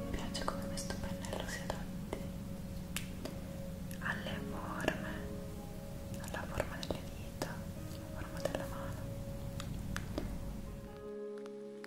Mi piace come questo pennello si adatti alle forme, alla forma delle dita, alla forma della mano.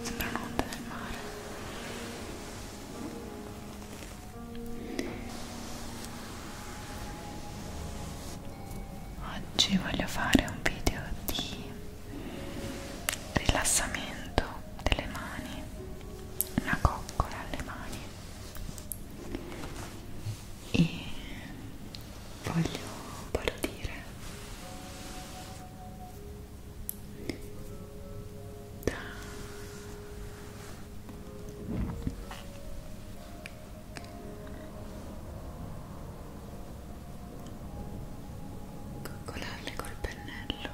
sembrano onde del mare oggi voglio fare un video di rilassamento delle mani una coccola alle mani e voglio, voglio dire coccolarle col pennello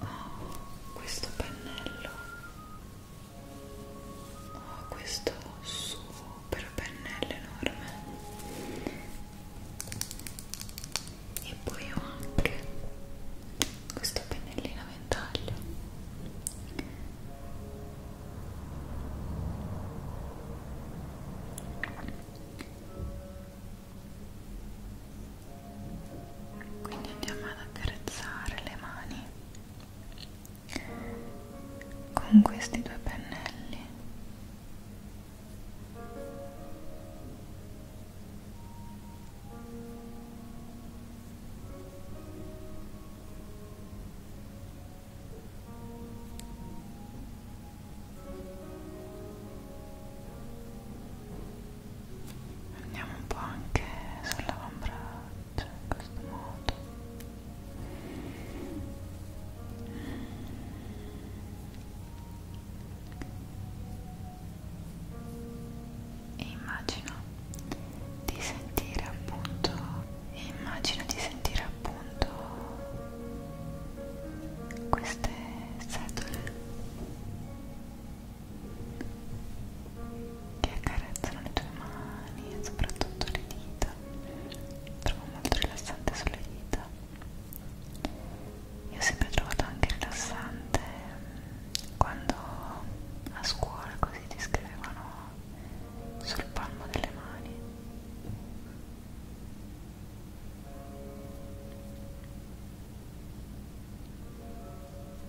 oh questo pennello ho ah, questo super pennello enorme e poi ho anche questo pennellino a ventaglio quindi andiamo ad accarezzare le mani con questi due pennelli andiamo un po' anche sull'avambraccio faccia in questo modo e immagino di sentire appunto e immagino di sentire appunto queste setole che accarezzano le tue mani e soprattutto le dita trovo molto rilassante sulle dita io ho sempre trovato anche rilassante mm, quando a scuola così ti scrivevano sul palmo delle mani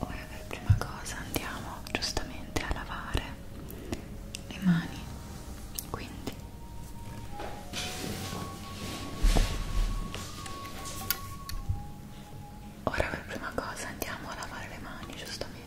ora per prima cosa andiamo giustamente a lavare le mani quindi ora per prima cosa andiamo a lavare le mani giustamente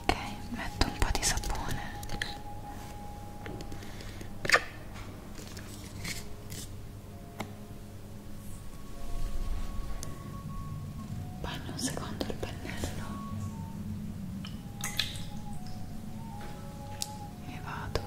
Ok, metto un po' di sapone bagno un secondo il pennello e vado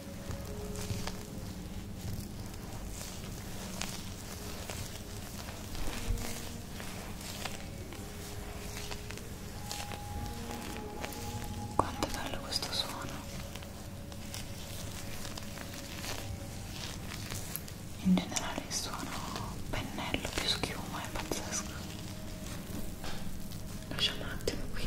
Quanto è bello questo suono. In generale il suono pennello più schiuma è pazzesco. Lasciamo un attimo qui.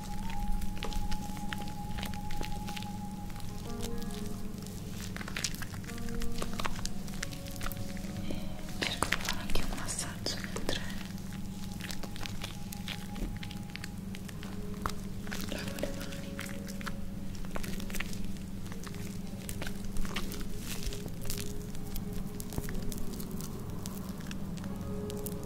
e cerco di fare anche un massaggio mentre lavo le mani e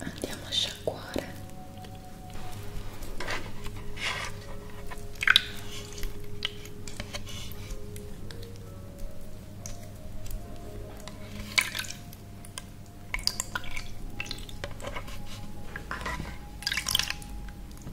andiamo a sciacquare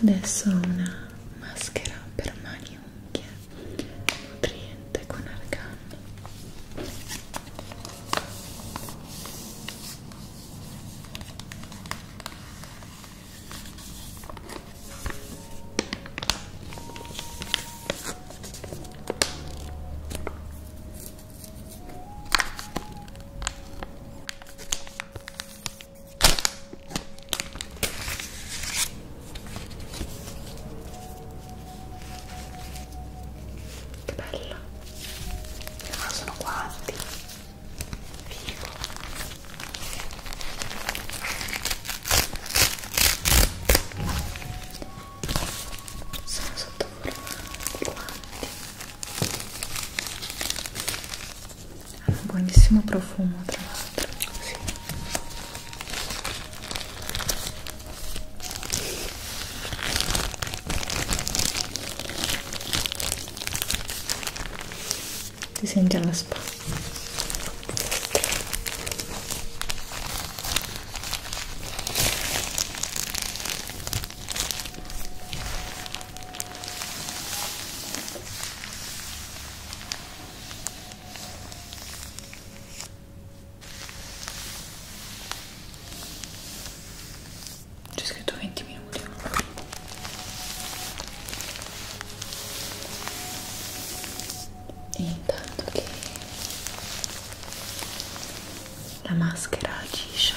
adesso una maschera per mani e unghie nutriente con argan Che bello! Ma ah, sono quanti? Figo! Sono sotto forma di guanti ha un buonissimo profumo tra l'altro sì. ti senti alla spa c'è scritto 20 minuti. E intanto che la maschera agisce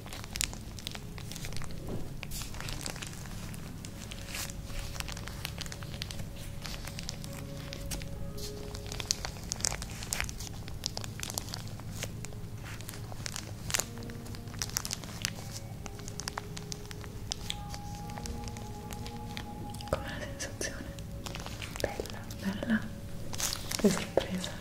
Com'è la sensazione? Bella, bella, che sorpresa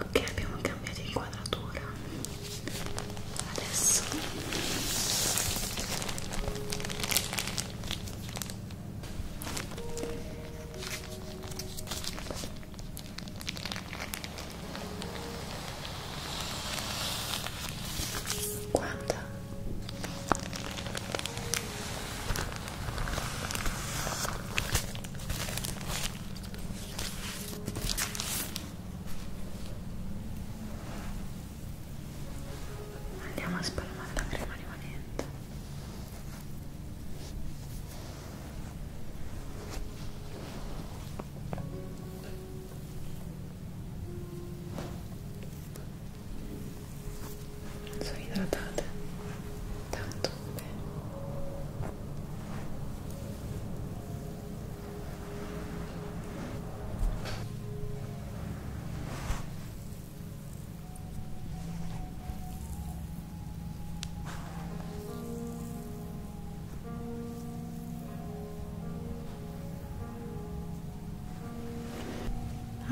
ok abbiamo cambiato inquadratura adesso Guarda. Andiamo a spalmare la crema rimanente. Sono idratate tanto bene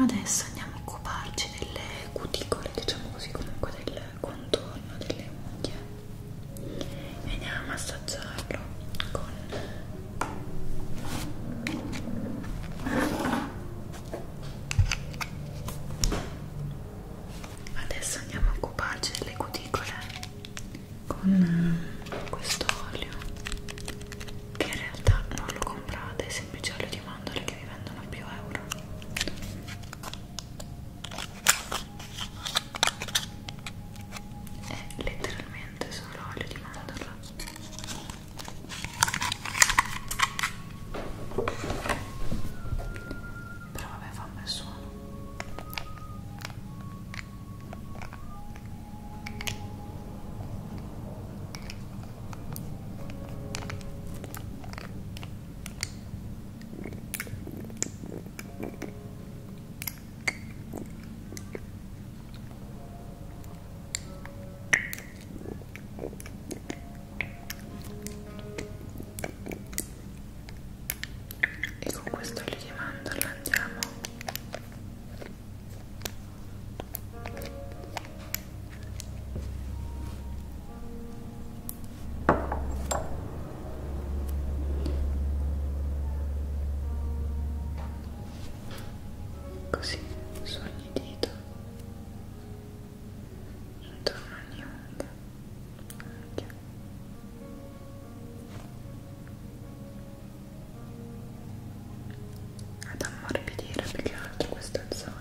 Adesso andiamo a occuparci delle cuticole, diciamo così, comunque del contorno delle unghie e andiamo a massaggiarlo con adesso andiamo a occuparci delle cuticole con eh, questo olio che in realtà non lo comprate è semplice olio di mandorle che vi vendono a più euro è letteralmente solo olio di mandorla però vabbè fa un bel suono e con questo olio di mandorla andiamo Così su ogni dito intorno a ogni ombra anche ad ammorbidire più che altro questa zona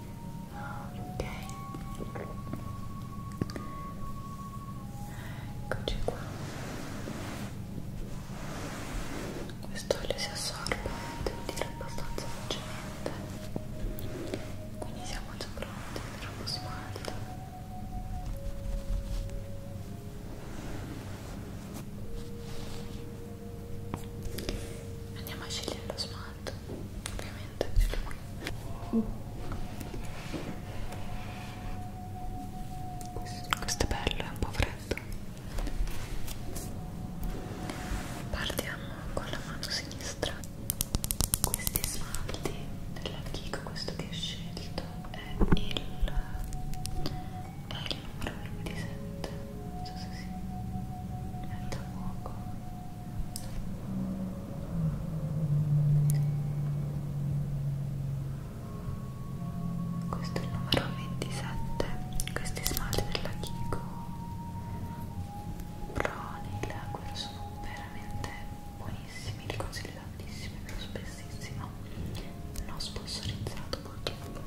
ok eccoci qua quest'olio si assorbe devo dire abbastanza velocemente quindi siamo già pronti per lo smalto andiamo a scegliere lo smalto alto ovviamente di lui questo è bello è un po' freddo partiamo con la mano sinistra questi smalti della Kiko questo che ho scelto è il è il numero 27 non so se si mette a fuoco questo è il numero 27 questi smalti della Kiko Proni, quello sono veramente buonissimi li consiglio tantissimo e più spessissimo non sponsorizzato purtroppo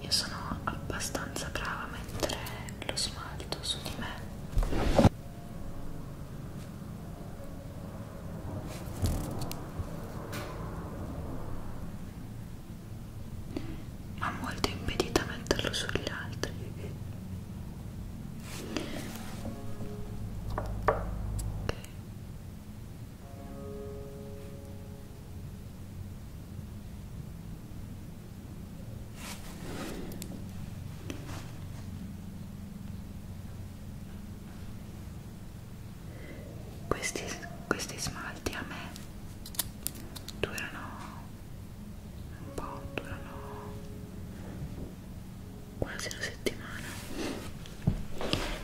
Io sono abbastanza brava a mettere lo smalto su di me ma molto impedita a metterlo sugli altri okay questi, questi smalti a me durano un po', durano quasi una settimana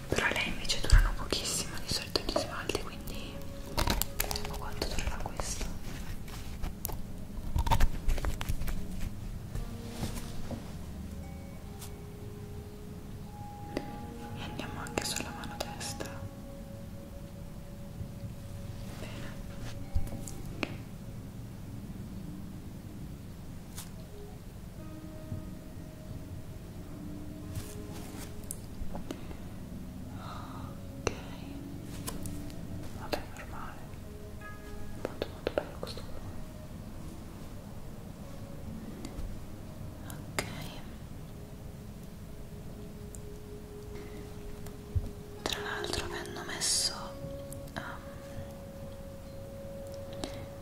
però lei invece durano pochissimo di solito gli smalti quindi vediamo quanto durerà questo e andiamo anche sulla mano destra Bene. Ok, vabbè, normale, molto molto bello questo colore. Ok, tra l'altro mi hanno messo um,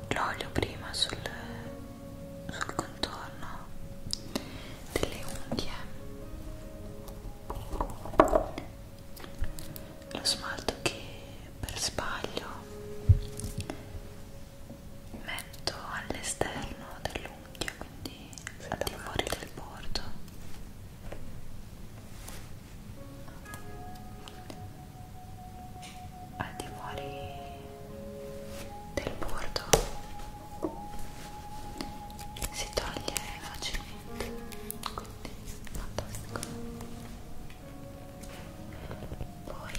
l'olio prima sul, sul contorno delle unghie lo smalto che per sbaglio metto all'esterno dell'unghia quindi al di fuori del bordo al di fuori del bordo si toglie facilmente quindi fantastico poi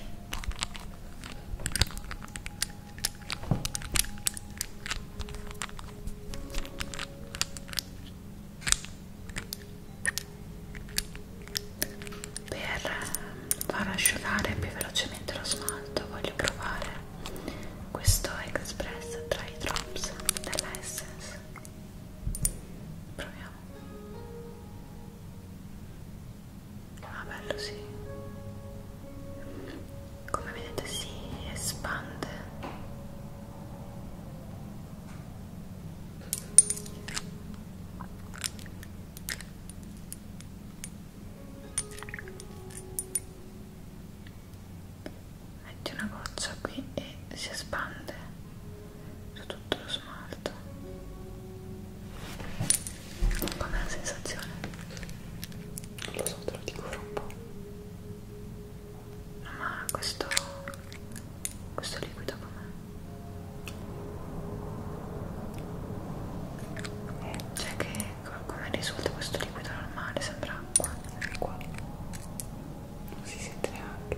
per far asciugare più velocemente lo smalto voglio provare questo Express Dry Drops della Essence proviamo Ah bello sì. Come vedete si espande. Metti una goccia qui e si espande su tutto lo smalto. Com'è la sensazione? Non lo so, te lo dico fra un po'. No, ma questo... questo liquido com'è? Cioè che come risulta questo liquido normale? Sembra acqua. Qua. Si sente neanche.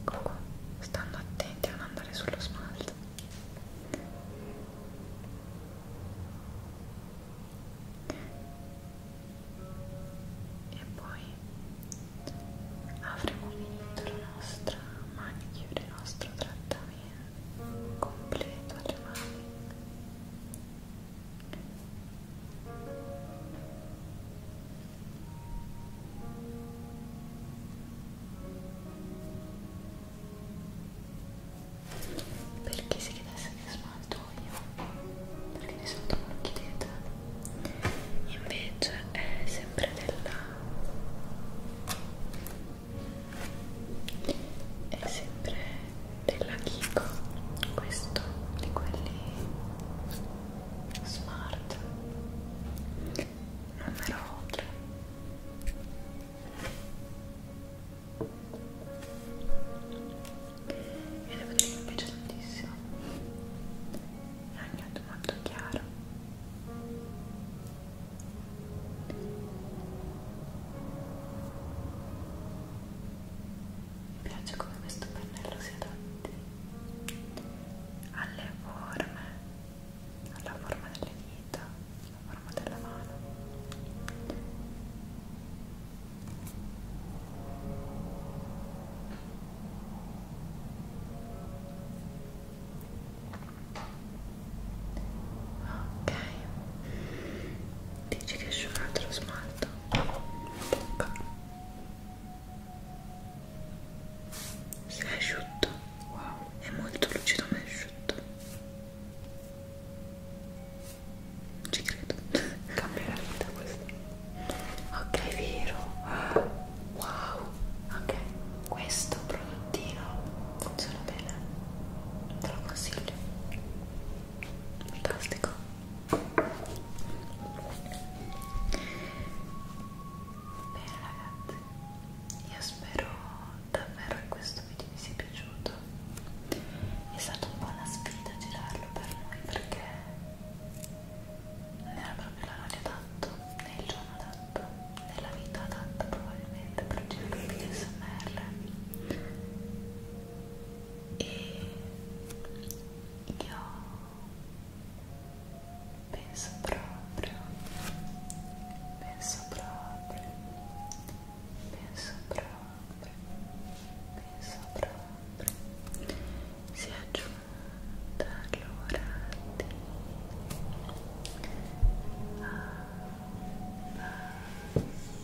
Ecco qua, stando attenti a non andare sullo smalto. E poi avremo finito la nostra manicure, il nostro trattamento completo alle mani perché si chiedesse che smalto io? Perché di solito non lo chiedete. Invece è sempre della... è sempre della Kiko questo di quelli smart numero 3 e devo dire che mi piace tantissimo è un nudo molto chiaro mi piace come questo pennello si adatti alle forme, alla forma delle dita, alla forma della mano. Ok, Dici che esce un altro smalto? Bocca. Si è asciutto. Wow. È molto lucido ma è asciutto. Non ci credo. Cambia la vita questo. Ok, vero. Wow. Ok, questo prodottino funziona bene te lo consiglio fantastico bene ragazzi io spero davvero che questo video vi sia piaciuto è stata un po' una sfida girarlo per noi perché non era proprio l'orario adatto né il giorno adatto né la vita adatta poi probabilmente progetto PSMR e io penso proprio penso proprio penso proprio penso proprio si è giunta l'ora di abbassare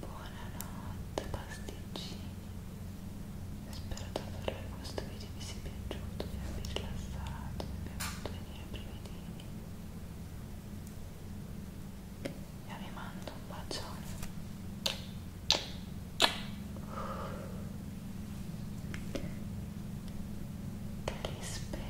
Buonanotte pasticcini Spero davvero che questo video vi sia piaciuto, vi abbia rilassato, vi abbia fatto venire brividini e vi mando un bacione che rispera